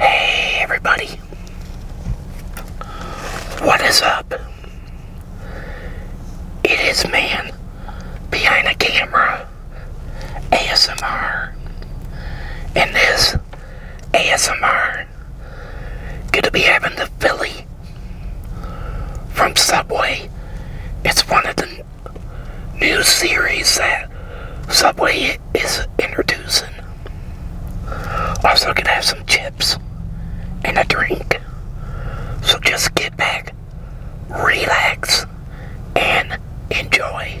Hey everybody, what is up? It is man behind a camera, ASMR, and this ASMR, gonna be having the Philly from Subway. It's one of the new series that Subway is introducing. Also, gonna have some chips and a drink. So just get back, relax, and enjoy.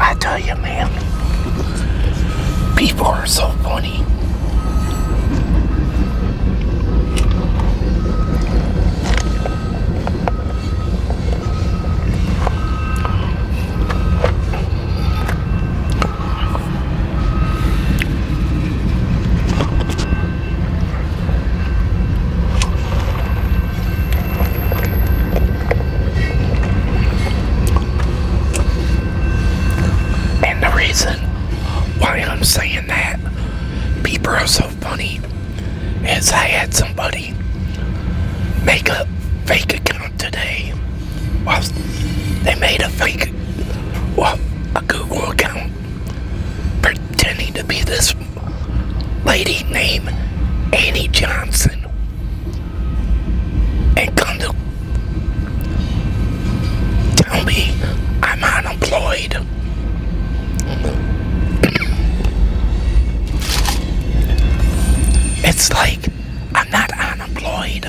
I tell you, man, people are so funny. And the reason why I'm saying that, people are so funny, is I had somebody make a fake account today. Well, they made a fake, well, a Google account pretending to be this lady named Annie Johnson and come to tell me I'm unemployed. It's like I'm not unemployed.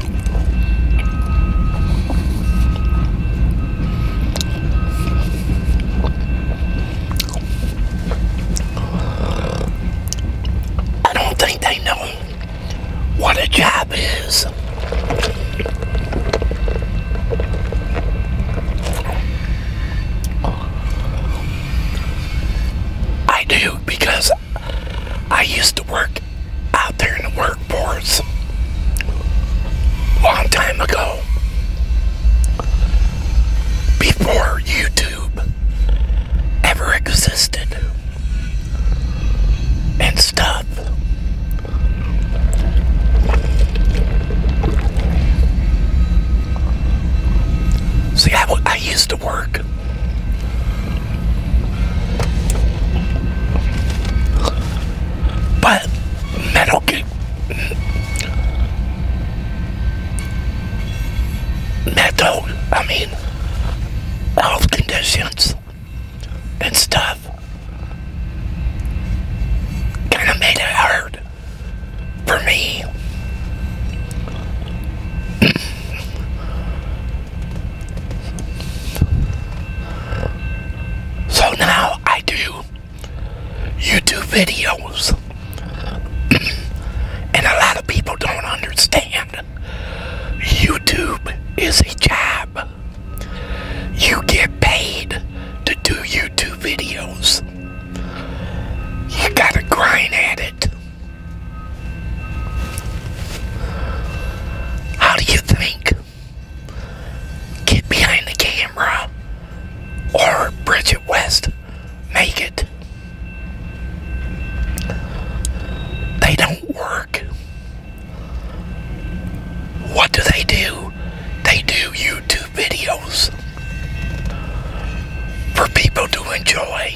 I don't think they know what a job is. I do because I used to work out there in the workforce a long time ago. Before YouTube ever existed and stuff. See, I, I used to work but Metal Gear, metal, I mean, health conditions and stuff kind of made it hard for me so now I do YouTube videos. and a lot of people don't understand. YouTube is a job. You get paid to do YouTube videos. You gotta grind at it. How do you think? Kid behind the camera or Bridget West make it? They don't work. What do they do? They do YouTube videos for people to enjoy.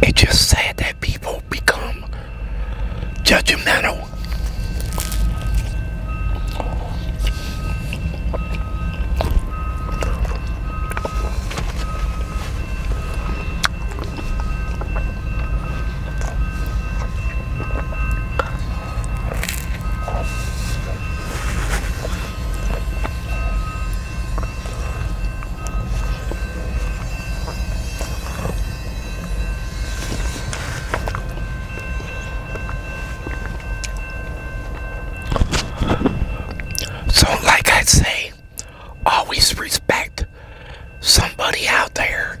It's just sad that people become judgmental. So, like I say, always respect somebody out there.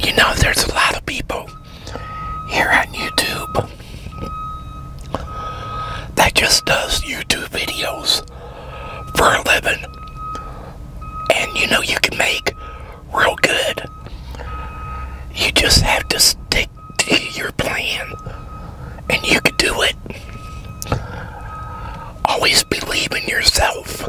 You know, there's a lot of people here on YouTube that just does YouTube videos for a living. And you know, you can make real good. You just have to stick to your plan and you can do it. Always believe in yourself.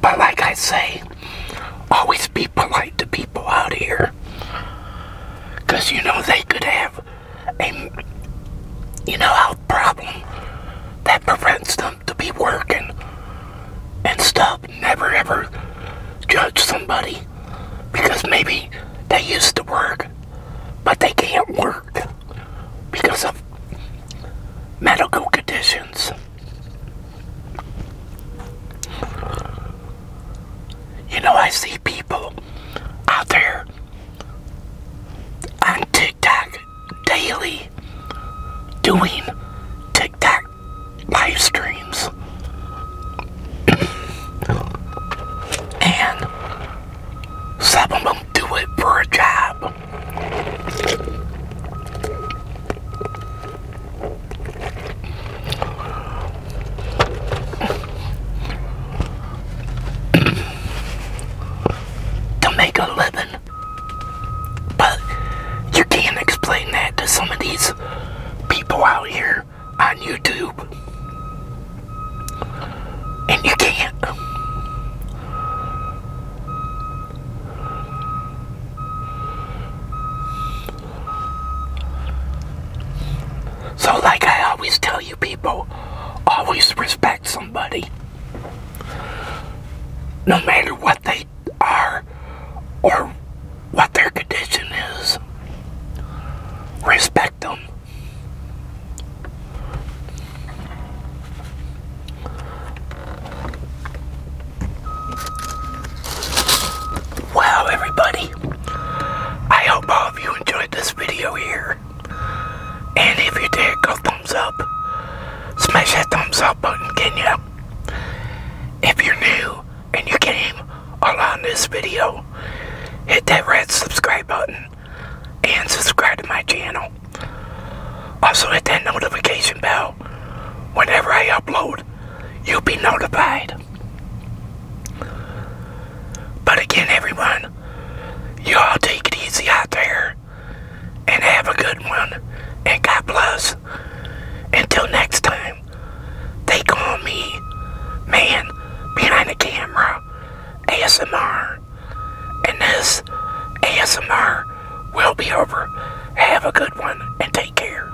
But like I say, always be polite to people out here. Because you know they could have a you know a problem that prevents them to be working and stop, Never ever judge somebody because maybe they used to work but they can't work because of medical conditions. You know, I see people out there on TikTok daily doing TikTok live streams. and some of them do it for a job to make a living. But you can't explain that to some of these people out here on YouTube. And you can't. So, like I always tell you people, always respect somebody. No matter what they are or what their condition is, respect them. Wow, everybody. I hope all of you enjoyed this video here. And if you did, go thumbs up. Smash that thumbs up button, can you? If you're new and you came along this video, hit that red subscribe button and subscribe to my channel. Also hit that notification bell. Whenever I upload, you'll be notified. But again, everyone, you all take it easy out there and have a good one. And God bless. Until next time, they call me Man Behind the Camera ASMR. And this ASMR will be over. Have a good one and take care.